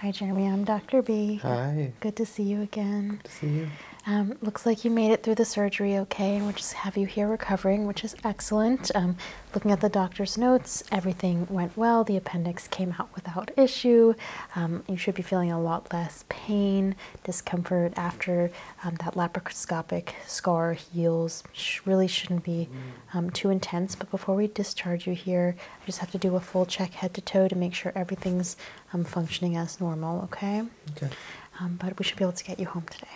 Hi, Jeremy. I'm Dr. B. Hi. Good to see you again. see you. Um, looks like you made it through the surgery okay, and we just have you here recovering, which is excellent. Um, looking at the doctor's notes, everything went well. The appendix came out without issue. Um, you should be feeling a lot less pain, discomfort after that laparoscopic scar heels really shouldn't be um, too intense. But before we discharge you here, I just have to do a full check head to toe to make sure everything's um, functioning as normal, okay? Okay. Um, but we should be able to get you home today.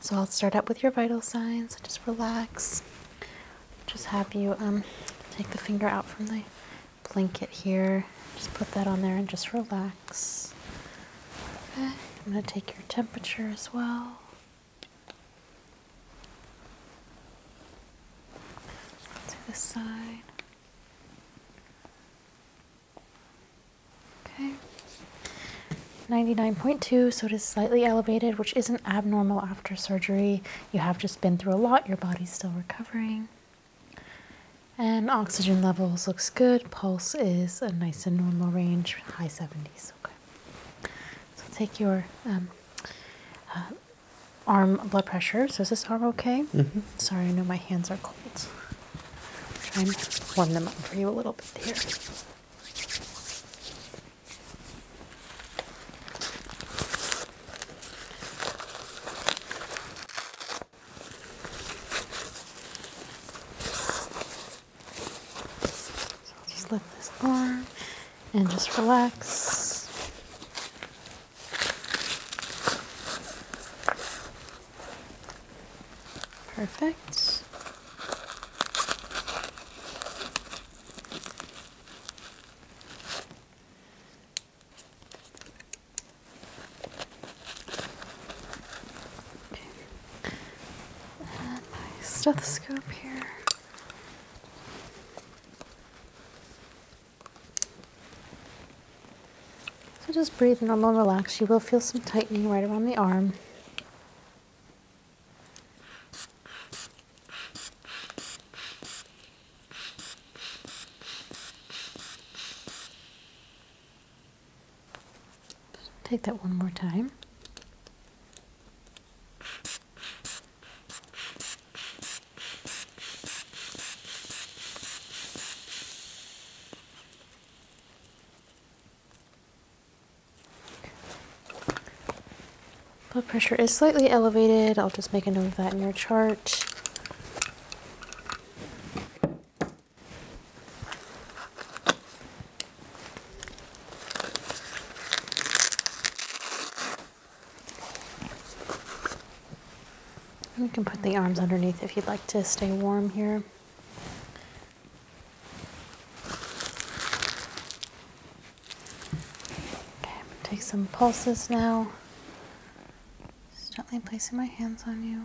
So I'll start out with your vital signs. Just relax. Just have you take the finger out from the blanket here. Just put that on there and just relax. I'm going to take your temperature as well. To this side. Okay. 99.2, so it is slightly elevated, which isn't abnormal after surgery. You have just been through a lot, your body's still recovering. And oxygen levels looks good, pulse is a nice and normal range high 70s. Okay. So take your um, uh, arm blood pressure. So is this arm okay? Mm-hmm. Sorry, I know my hands are cold. Try and warm them up for you a little bit here. So I'll just lift this arm and just relax. Perfect. Okay. And my stethoscope here. So just breathe normal, relax. You will feel some tightening right around the arm. Take that one more time. Blood pressure is slightly elevated. I'll just make a note of that in your chart. We can put the arms underneath if you'd like to stay warm here. Okay, take some pulses now. gently placing my hands on you.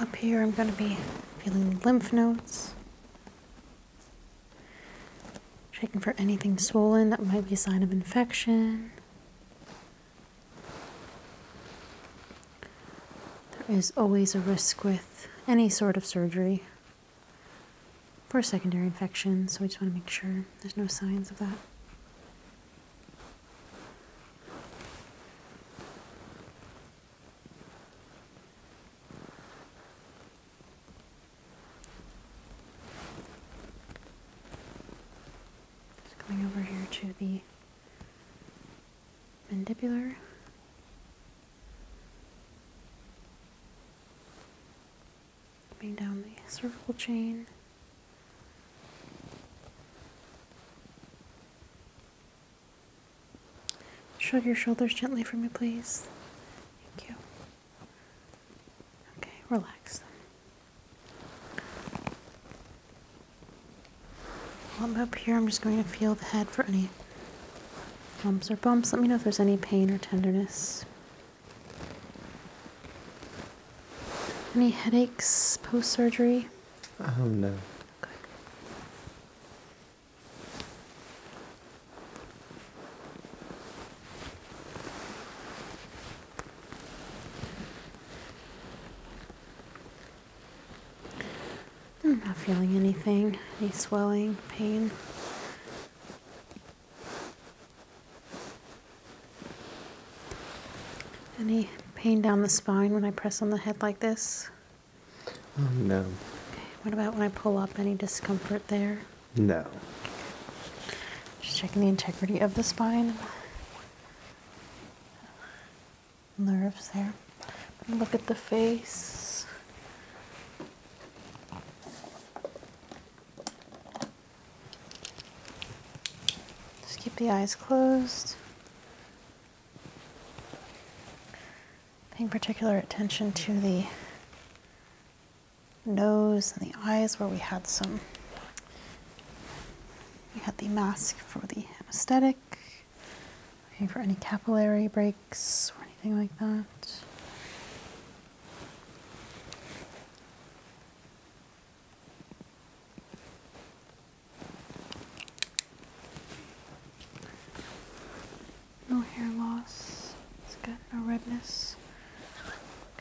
Up here, I'm going to be feeling lymph nodes, checking for anything swollen that might be a sign of infection. There is always a risk with any sort of surgery for a secondary infection, so we just want to make sure there's no signs of that. Just coming over here to the mandibular. Coming down the cervical chain. Shrug your shoulders gently for me, please. Thank you. Okay, relax. While I'm up here, I'm just going to feel the head for any bumps or bumps. Let me know if there's any pain or tenderness. Any headaches post surgery? Oh, um, no. I'm not feeling anything, any swelling, pain. Any pain down the spine when I press on the head like this? Oh, no. What about when I pull up? Any discomfort there? No. Just checking the integrity of the spine. Nerves there. Look at the face. Just keep the eyes closed. Paying particular attention to the nose and the eyes where we had some we had the mask for the anesthetic looking for any capillary breaks or anything like that no hair loss it's got no redness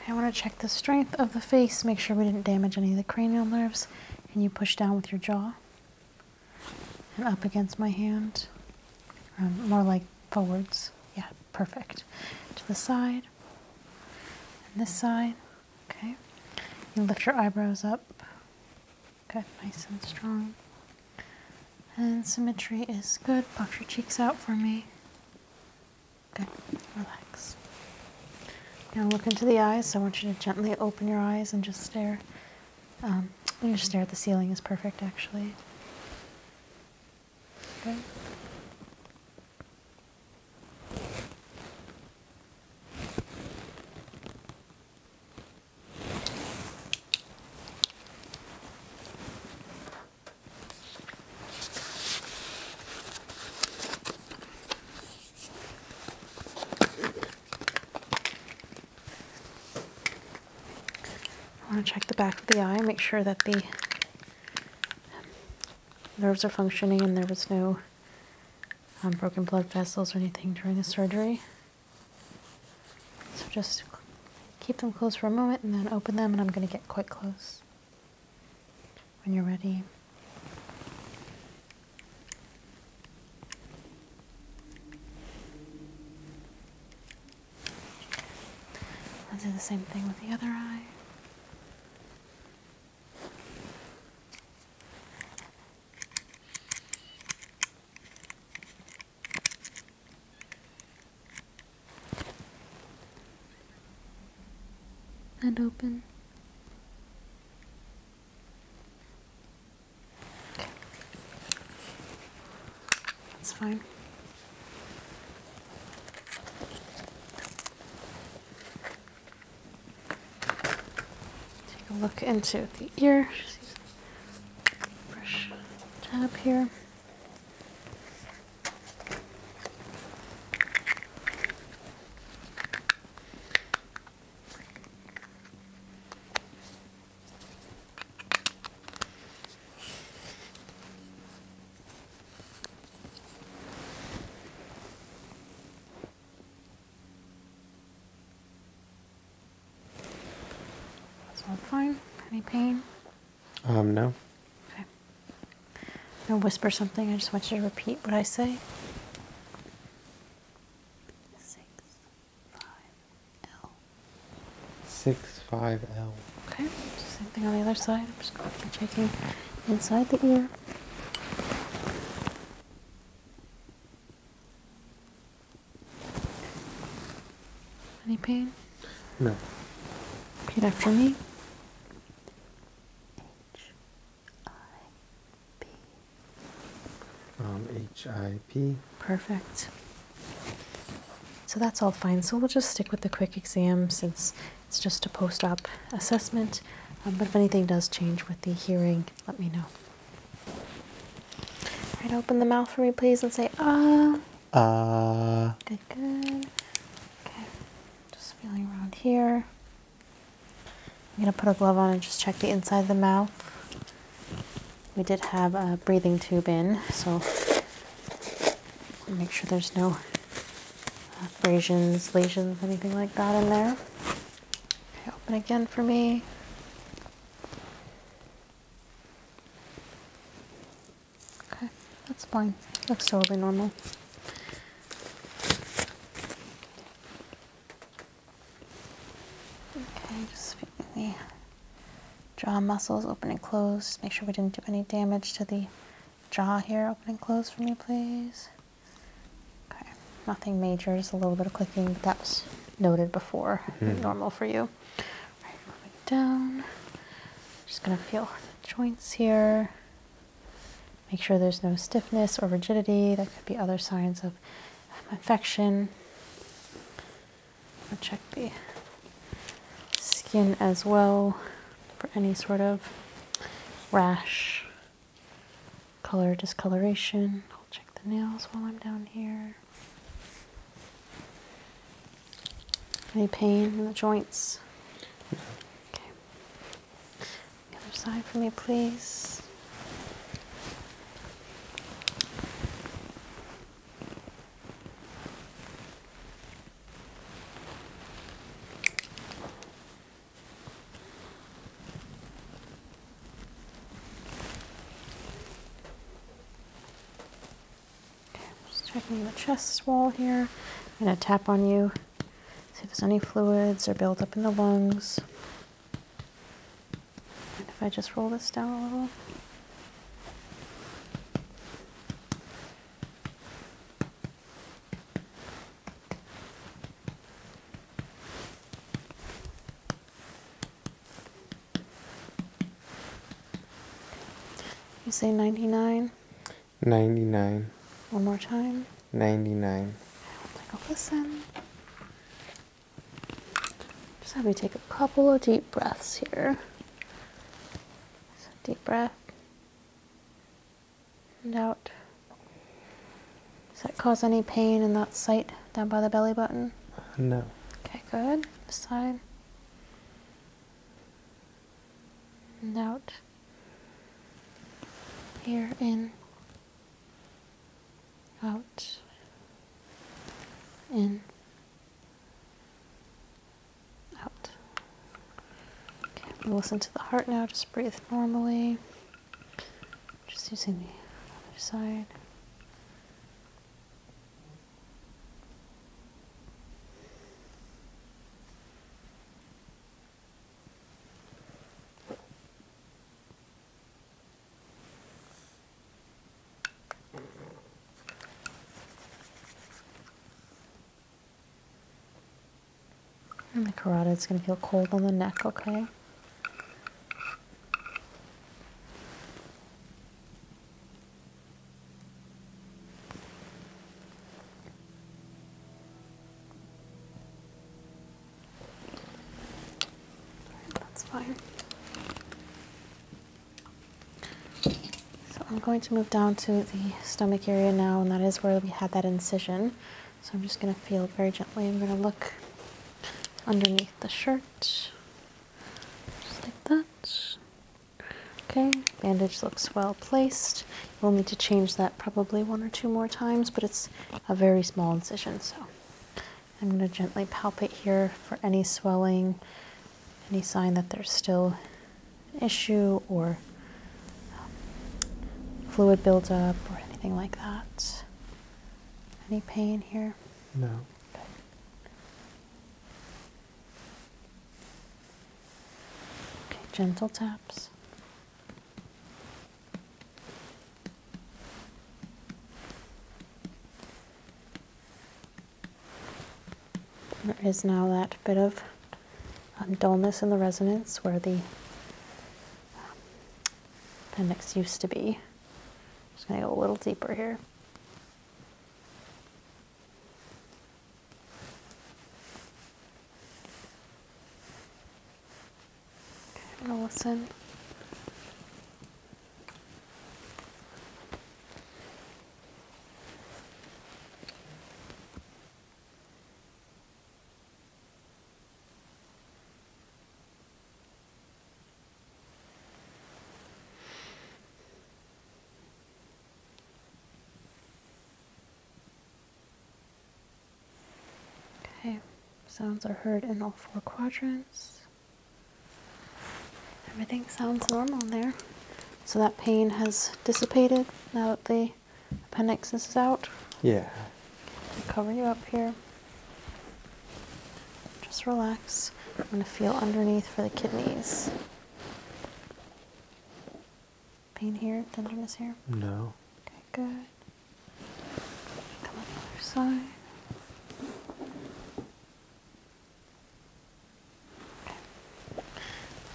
I want to check the strength of the face, make sure we didn't damage any of the cranial nerves. And you push down with your jaw and up against my hand, um, more like forwards. Yeah, perfect. To the side and this side. Okay, you lift your eyebrows up. Good, nice and strong. And symmetry is good. Puff your cheeks out for me. Okay, relax. Now look into the eyes. I want you to gently open your eyes and just stare. Um, your stare at the ceiling is perfect, actually. Good. I want to check the back of the eye, make sure that the nerves are functioning and there was no um, broken blood vessels or anything during the surgery. So just keep them closed for a moment and then open them and I'm going to get quite close. When you're ready, I'll do the same thing with the other eye and open. That's fine. Take a look into the ear. Brush tab here. That's all fine. Any pain? Um, no. Okay. i whisper something. I just want you to repeat what I say. Six, five, L. Six, five, L. Okay. Same thing on the other side. I'm just going to be checking inside the ear. Any pain? No. Repeat after me. H I P. Um, H I P. Perfect. So that's all fine. So we'll just stick with the quick exam since it's just a post op assessment. Um, but if anything does change with the hearing, let me know. All right, open the mouth for me, please, and say ah. Uh, good, good. Okay, just feeling around here. I'm gonna put a glove on and just check the inside of the mouth. We did have a breathing tube in, so make sure there's no abrasions, lesions, anything like that in there. Okay, open again for me. Okay, that's fine. Looks totally normal. Okay, just the jaw muscles open and close. make sure we didn't do any damage to the jaw here. Open and close for me, please. Okay, nothing major, just a little bit of clicking, but that was noted before. Hmm. Normal for you. Right, moving down. Just gonna feel the joints here. Make sure there's no stiffness or rigidity. That could be other signs of infection. check the skin as well for any sort of rash, color discoloration. I'll check the nails while I'm down here. Any pain in the joints? Okay. other side for me, please. I'm just checking the chest wall here. I'm going to tap on you, see if there's any fluids or build-up in the lungs. if I just roll this down a little. You say 99? 99. One more time? 99. Take a listen. Just have me take a couple of deep breaths here. So deep breath. And out. Does that cause any pain in that site down by the belly button? No. Okay, good. side inside out here in out in out listen to the heart now just breathe normally just using the other side and the carotid's going to feel cold on the neck, okay? That's fine. So I'm going to move down to the stomach area now, and that is where we had that incision. So I'm just going to feel very gently. I'm going to look underneath the shirt. Just like that. Okay, bandage looks well placed. We'll need to change that probably one or two more times, but it's a very small incision, so I'm going to gently palpate here for any swelling, any sign that there's still an issue or um, fluid buildup or anything like that. Any pain here? No. Okay. gentle taps. There is now that bit of um, dullness in the resonance where the um, appendix used to be. Just gonna go a little deeper here. listen. Okay, sounds are heard in all four quadrants. Everything sounds normal there. So that pain has dissipated now that the appendix is out. Yeah. cover you up here. Just relax. I'm going to feel underneath for the kidneys. Pain here? Tenderness here? No. Okay, good. Come on the other side.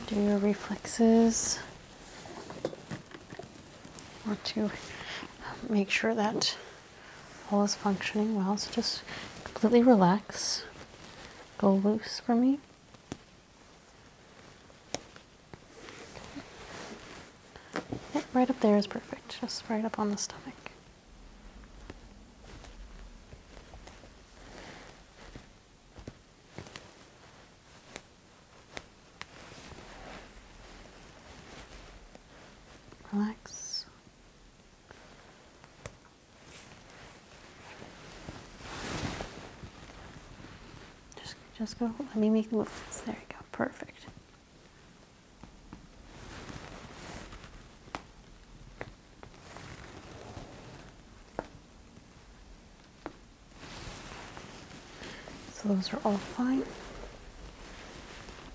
Do your reflexes. want to make sure that all is functioning well. So just completely relax, go loose for me. right up there is perfect, just right up on the stomach relax. Just, just go. Let me make the movements. There you go. Perfect. So those are all fine.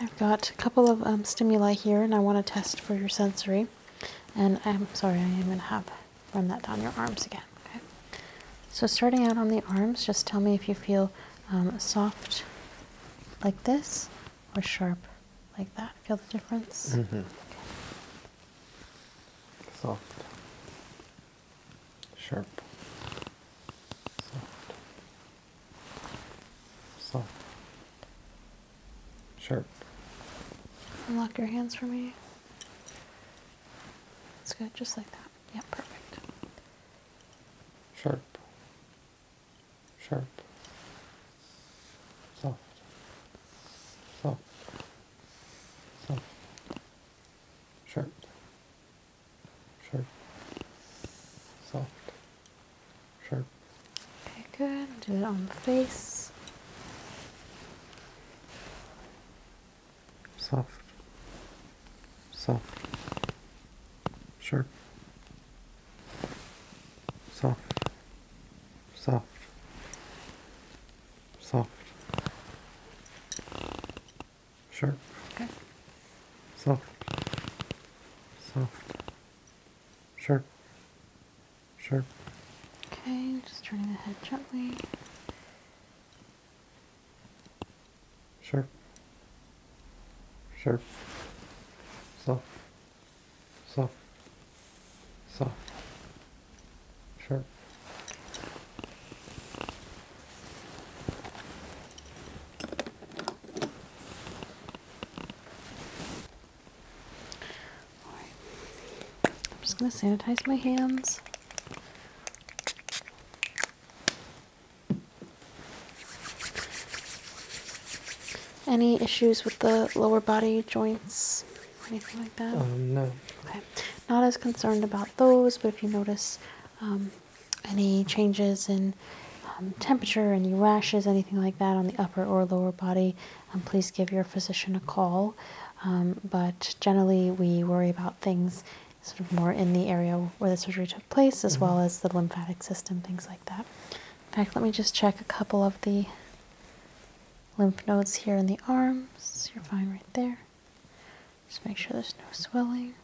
I've got a couple of um, stimuli here and I want to test for your sensory. And I'm sorry, I am going to have run that down your arms again. Okay. So starting out on the arms, just tell me if you feel um, soft like this or sharp like that. Feel the difference? Mm-hmm. Soft sharp, soft, soft, sharp. Unlock your hands for me. It's good, just like that. Yeah, perfect. Sharp, sharp, soft, soft, soft, sharp sharp, soft, sharp. Okay, good. Do it on the face. Soft, soft, sharp, soft, soft, soft. Sharp. Okay. Soft. Soft. Sharp. Sharp. Okay, just turning the head gently. Sharp. Sharp. Soft. Soft. Soft. Sharp. I'm just going to sanitize my hands. Any issues with the lower body joints or anything like that? Um, no. Okay. Not as concerned about those, but if you notice um, any changes in um, temperature, any rashes, anything like that on the upper or lower body, um, please give your physician a call. Um, but generally, we worry about things sort of more in the area where the surgery took place, as well mm-hmm. as the lymphatic system, things like that. In fact, let me just check a couple of the lymph nodes here in the arms. You're fine right there. Just make sure there's no swelling.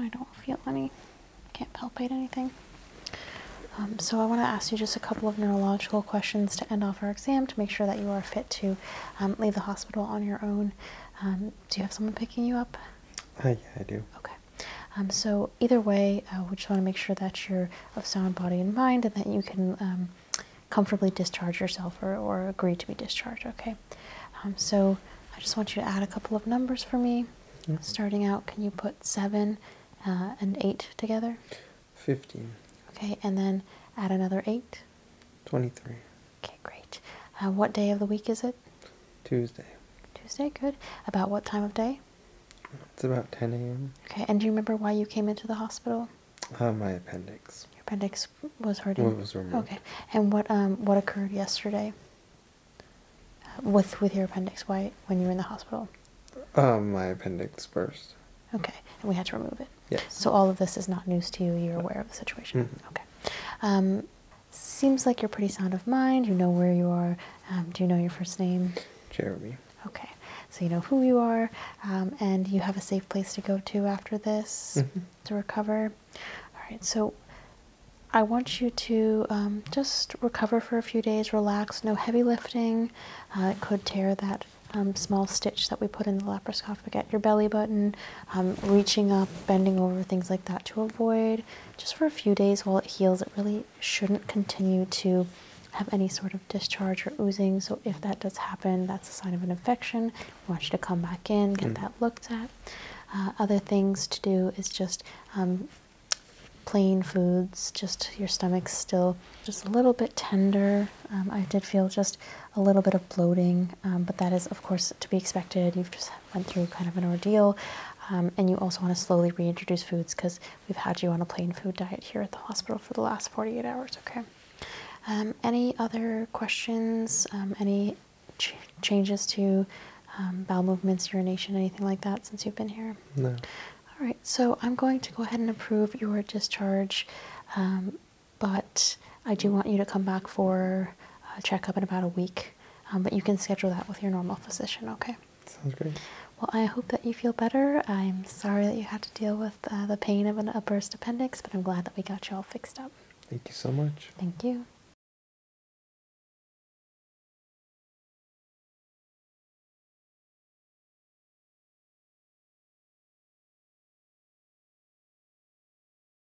I don't feel any, can't palpate anything. Um, so I want to ask you just a couple of neurological questions to end off our exam to make sure that you are fit to um, leave the hospital on your own. Um, do you have someone picking you up? Uh, yeah, I do. Okay. Um, so either way, uh, we just want to make sure that you're of sound body and mind, and that you can um, comfortably discharge yourself or, agree to be discharged. Okay. Um, so I just want you to add a couple of numbers for me. Mm-hmm. Starting out, can you put seven uh, and eight together? Fifteen. Okay, and then add another eight. Twenty-three. Okay, great. Uh, what day of the week is it? Tuesday. Tuesday, good. About what time of day? It's about 10 a.m. Okay, and do you remember why you came into the hospital? Uh, my appendix. appendix was hurting? Well, was removed. Okay, and what, um, what occurred yesterday uh, with, with your appendix why, when you were in the hospital? Um, my appendix burst. Okay, and we had to remove it. Yes. So all of this is not news to you. You're aware of the situation. Mm-hmm. Okay. Um, seems like you're pretty sound of mind. You know where you are. Um, do you know your first name? Jeremy. Okay. So you know who you are, um, and you have a safe place to go to after this mm-hmm. to recover. All right. So I want you to um, just recover for a few days, relax, no heavy lifting. Uh, it could tear that small stitch that we put in the laparoscopic at your belly button. Um, reaching up, bending over, things like that to avoid just for a few days while it heals. It really shouldn't continue to have any sort of discharge or oozing. So, if that does happen, that's a sign of an infection. We want you to come back in, get mm. that looked at. Uh, other things to do is just um, plain foods, just your stomach's still just a little bit tender. Um, I did feel just a little bit of bloating, but that is, of course, to be expected. You've just went through kind of an ordeal. Um, and you also want to slowly reintroduce foods because we've had you on a plain food diet here at the hospital for the last 48 hours, okay? Um, any other questions? Um, any changes to bowel movements, urination, anything like that since you've been here? No. All right, so I'm going to go ahead and approve your discharge, but I do want you to come back for a checkup in about a week um, but you can schedule that with your normal physician, okay? Sounds great. Well, I hope that you feel better. I'm sorry that you had to deal with uh, the pain of an, upburst appendix, but I'm glad that we got you all fixed up. Thank you so much. Thank you.